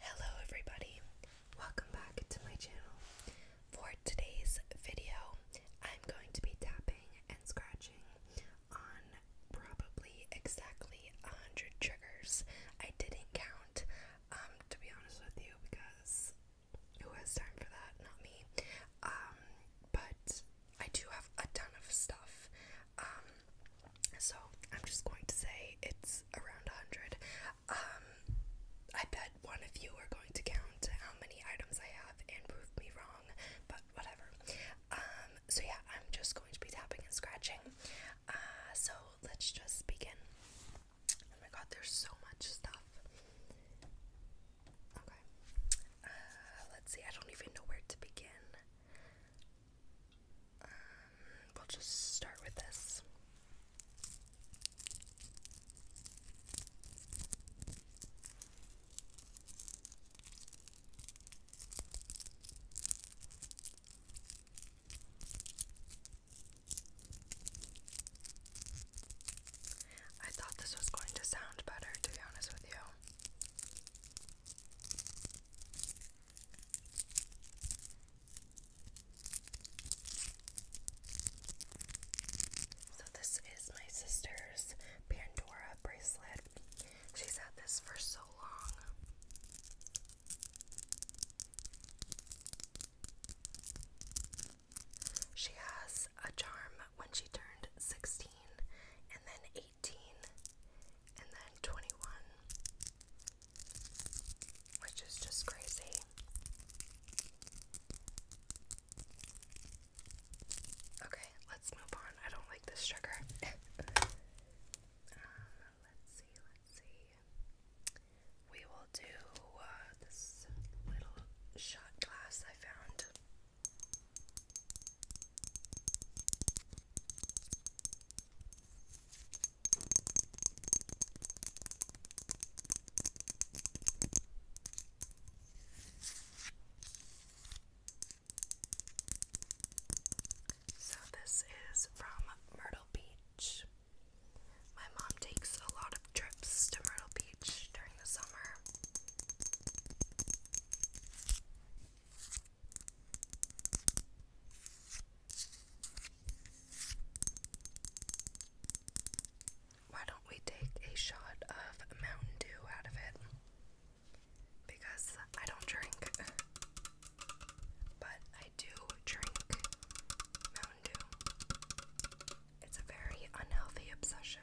Hello everybody, welcome back to my channel. For today's video, I'm going to be tapping and scratching on probably exactly 100 triggers. I didn't count, um, to be honest with you, because who has time for that? Not me. Um, but I do have a ton of stuff. Um, so I'm just going to say it's around 100. Um, I bet one of you are going to count how many items I have and prove me wrong, but whatever. Um, so yeah, I'm just going to be tapping and scratching. Uh, so let's just begin. Oh my god, there's so much stuff. Okay. Uh, let's see, I don't even know where to begin. Um, we'll just start with this. I thought this was going to sound better, to be honest with you. So this is my sister's Pandora bracelet. She's had this for so long. She has a charm when she turned 16 and then 18 and then 21 which is just crazy. Okay, let's move on. I don't like this sugar. Uh, let's see, let's see. We will do uh, this little shot glass I found. So, this is from Myrtle Beach. My mom takes a lot of trips to Myrtle Beach during the summer. Why don't we take a shot of Mountain Dew out of it? Because I don't drink, but I do drink Mountain Dew. It's a very unhealthy obsession.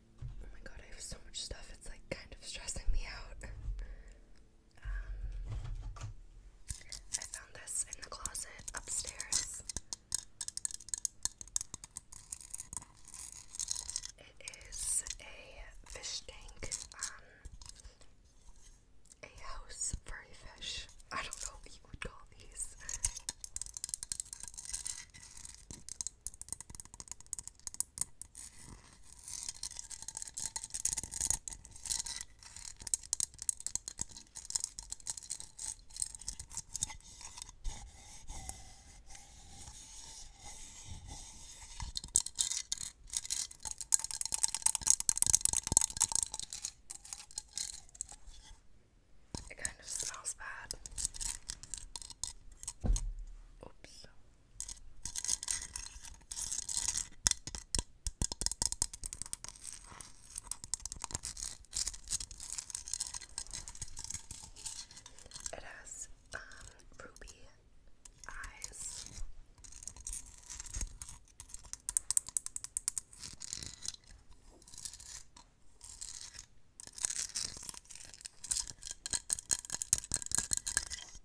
Oh my god, I have so much stuff. It's like kind of stressing me out. Um, I found this in the closet upstairs. It is a fish tank, um, a house for a fish. I don't know what you would call these. It kind of smells bad. Oops. It has um, ruby eyes.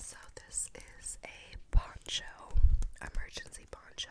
So, this is a poncho, emergency poncho.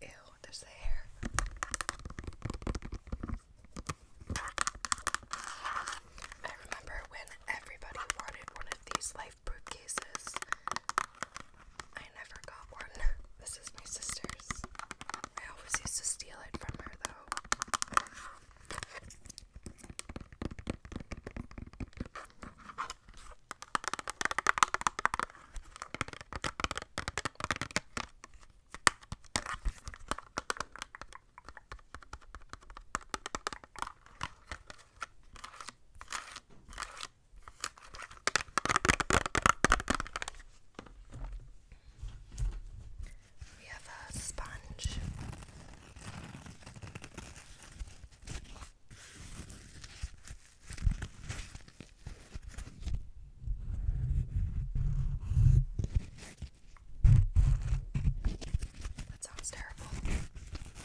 Ew, there's the hair. I remember when everybody wanted one of these, like life fruitcases. I never got one. This is my sister's. I always used to steal it from her though. We have a sponge. That sounds terrible.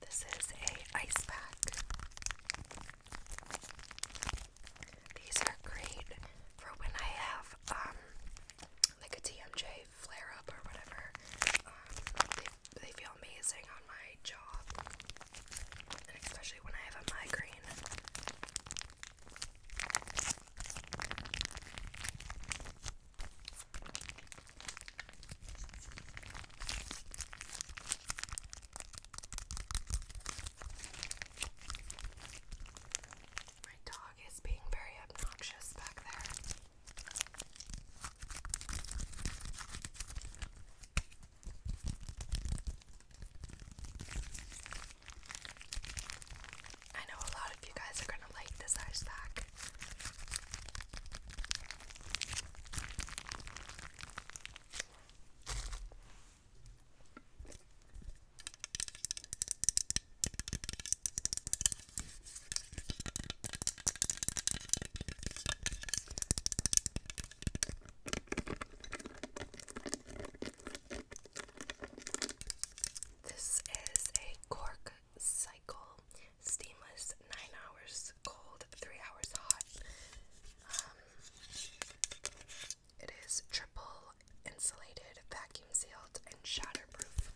This is a ice pack. These are great for when I have um like a TMJ flare up or whatever. Um, they, they feel amazing on my job, and especially when I have a migraine. My dog dog is being very obnoxious back there. I know a lot of you guys are going to like this ice pack. This is a cork cycle steamless, nine hours cold, three hours hot. Um, it is triple insulated, vacuum sealed and shatterproof.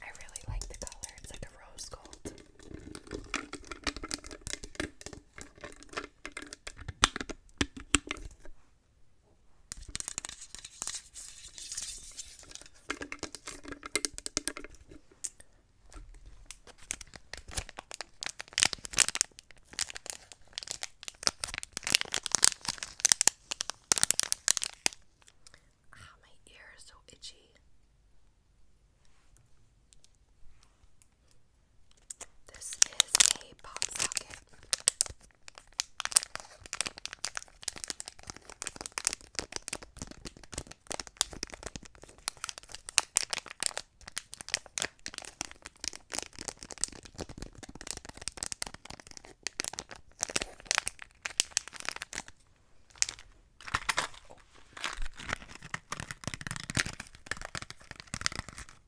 I really like the color, it's like a rose gold. Ah, my ear is so itchy. This is a pop socket. Oh.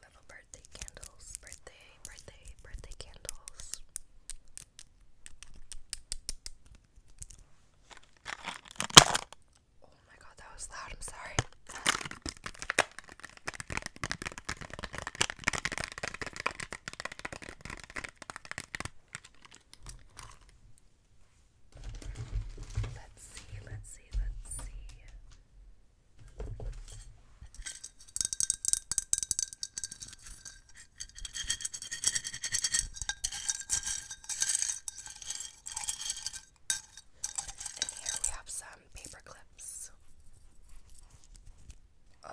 Little birthday candles, birthday, birthday, birthday candles. Oh my god, that was loud. I'm sorry. Let's see, let's see, let's see. And here we have some paper clips. Oh.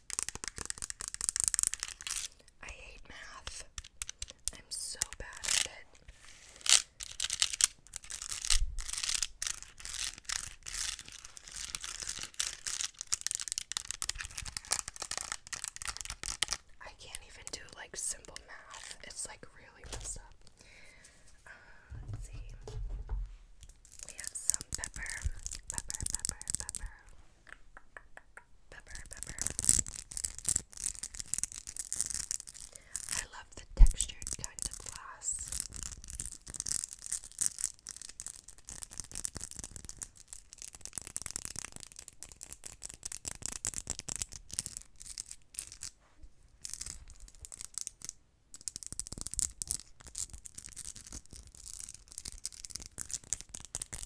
I hate math. I'm so bad at it. I can't even do like simple math. It's like really messed up. Uh, let's see. We have some pepper. I love the textured kind of glass. Whoopsies.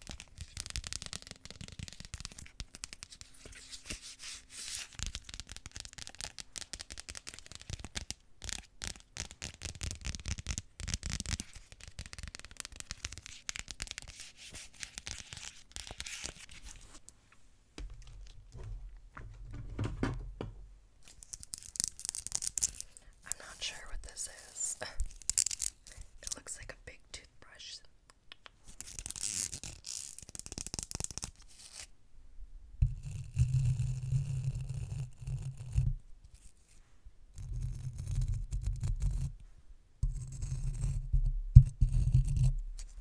I'm not sure what this is. It looks like a big toothbrush.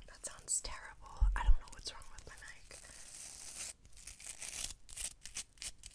That sounds terrible. I don't know what's wrong with my mic.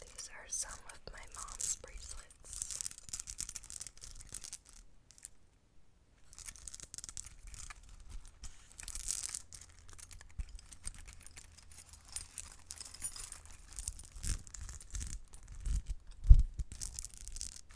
These are some of my mom's bracelets.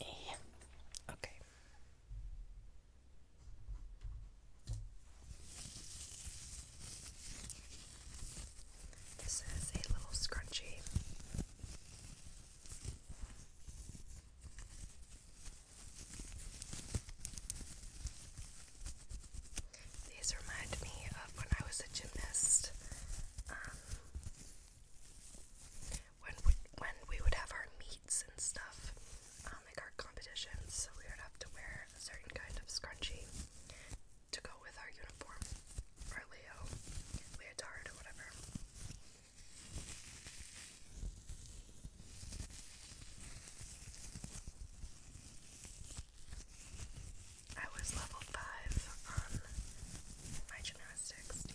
Yeah. Okay. This is a little scrunchie. These remind me of when I was a gymnast. Um, when we, when we would have our meets and stuff, um, like our competitions, so we would have to wear a certain kind of scrunchie to go with our uniform, our Leo leotard or whatever. I was level 5 on my gymnastics team.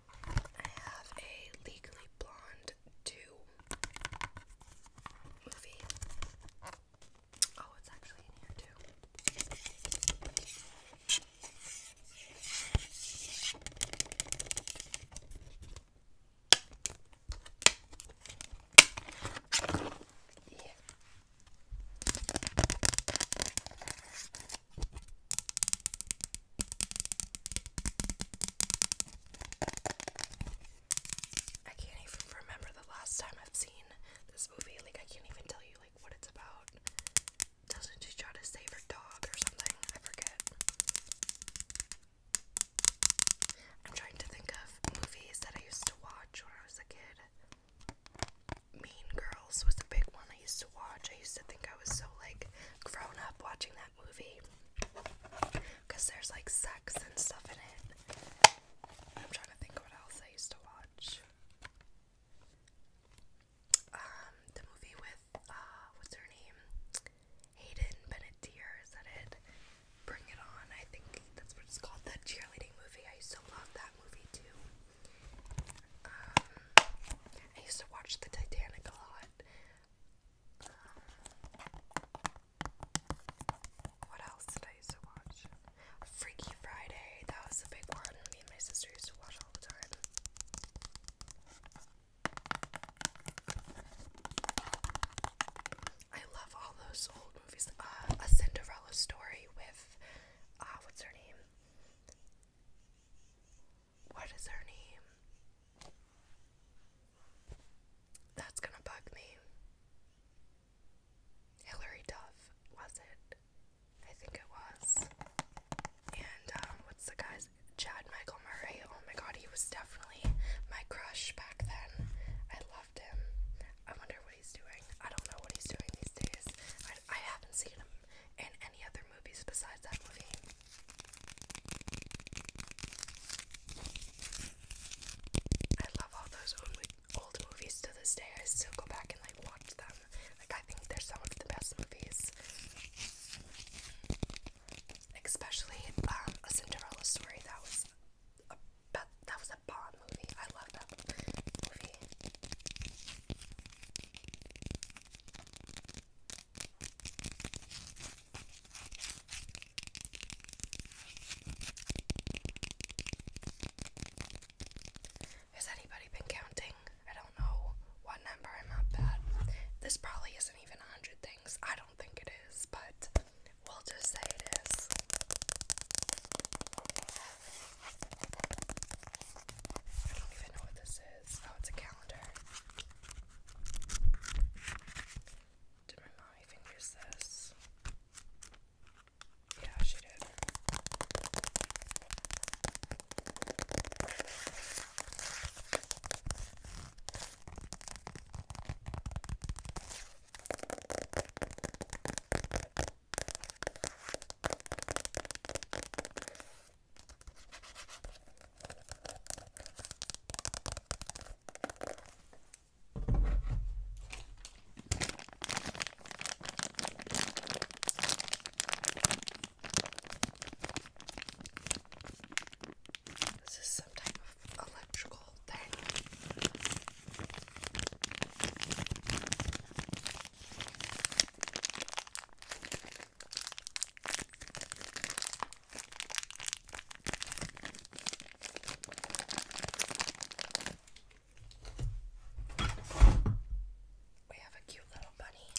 I have a Legally Blonde 2 movie. Oh, it's actually in here too. Yeah. I can't even remember the last time I've seen this movie. Like I can't even tell you like what it's about. Doesn't she try to save her dog or something? I forget. I'm trying to think of movies that I used to watch when I was a kid. Mean Girls was a big one I used to watch. I used to think I was so like grown up watching that movie because there's like sex and stuff in it. I'm trying to think what else I used to watch. Um, the movie with uh, what's her name? Hayden Benettier, is that it? Bring It On, I think that's what it's called. That cheerleading movie, I used to love that movie too. Um, I used to watch the Titanic a lot. what else I used to watch? Freaky Friday. That was a big one. Me and my sister used to watch all the time. I love all those old movies. Uh, a Cinderella story with, uh, what's her name? What is her name? That's gonna bug me. Hilary Duff, was it? I think it was. And um, what's the guy's? Chad Michael Murray. Oh my god, he was definitely my crush back then. I loved him. I wonder what he's doing. I don't know what he's doing these days. I, I haven't seen him in any other movies besides that movie. I love all those old movies to this day. I still go back and like watch them. Like I think they're some of the best movies. Especially um, a Cinderella story. That was a that was a bomb movie. I love that movie. Has anybody been counting? I don't know what number I'm at. This probably isn't even 100 things. I don't think it is, but we'll just say it is. I don't even know what this Oh, it's a calendar. Did my mommy fingers this? Yeah, she did. This is some type of electrical thing. We have a cute little bunny.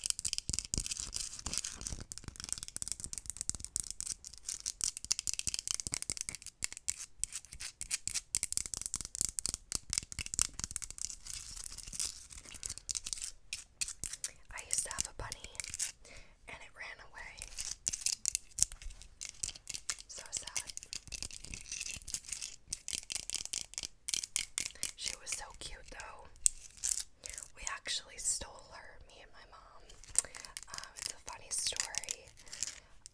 I used to have a bunny and it ran away. So sad. She was so cute though. We actually stole her, me and my mom. Um, it's a funny story.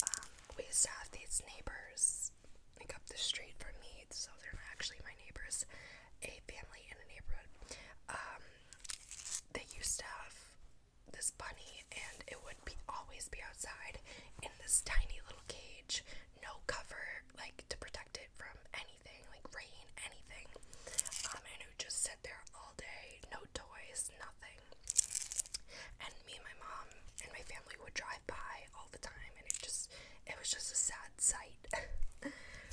Um, we used to have these neighbors like up the street from me, so they're actually my neighbors a family in a neighborhood. Um, they used to have this bunny, and it would be always be outside in this tiny little cage, no cover, like to protect it from anything, like rain, anything. Um, and it would just sit there all day, no toys, nothing. And me and my mom and my family would drive by all the time, and it just it was just a sad sight.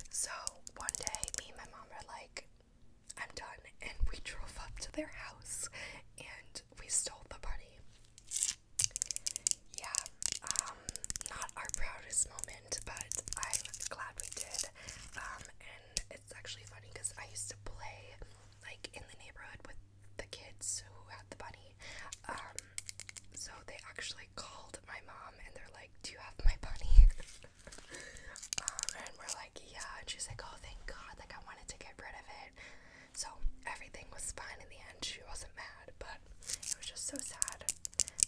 so one day, me and my mom are like, I'm done. And we drove up to their house and we stole the bunny. Yeah, um, not our proudest moment, but I'm glad we did. Um, and it's actually funny because I used to play like in the neighborhood with the kids who had the bunny. Um, so they actually like called my mom and they're like, Do you have my bunny? um, and we're like, Yeah. And she's like, Oh, thank God. Like, I wanted to get rid of it. So everything was fine in the end. She wasn't mad, but it was just so sad.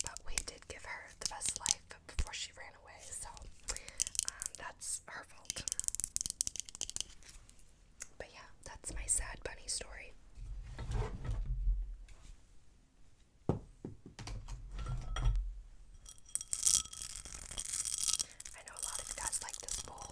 But we did give her the best life before she ran away. So um, that's her fault. But yeah, that's my sad bunny story. I know a lot of you guys like this bowl.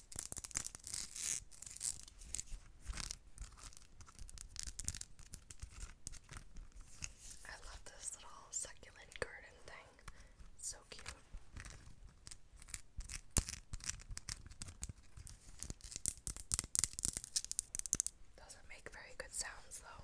I love this little succulent garden thing. so cute. Doesn't make very good sounds though.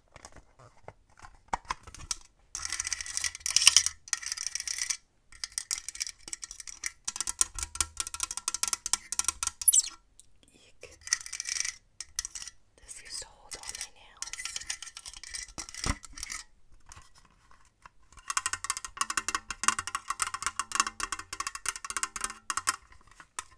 Eek. This used to hold all my nails.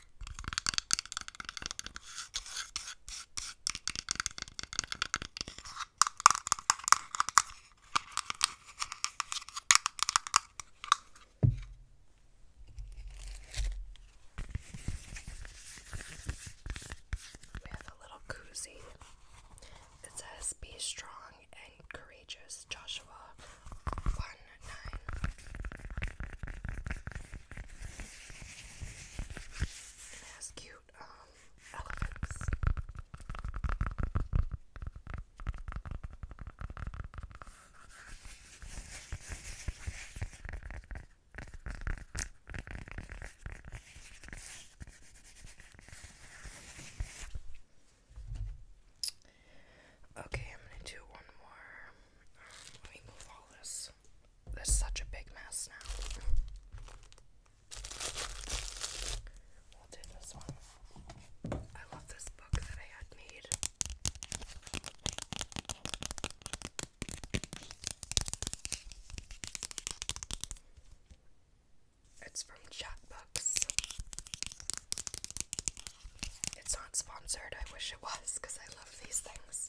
We have a little koozie. It says, Be strong and courageous, Joshua 1 9. That's cute um, Okay, I'm gonna do one more. Um, let me move all this mess. There's such a big mess now. We'll do this one. I love this book that I had made. It's from Chatbooks. It's not sponsored. I wish it was because I love these things.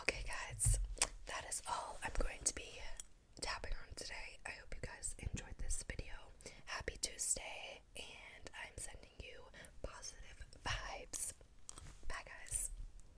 Okay, guys, that is all I'm going to be tapping on today. I hope you guys enjoyed this video. Happy Tuesday, and I'm sending you positive vibes. Bye, guys.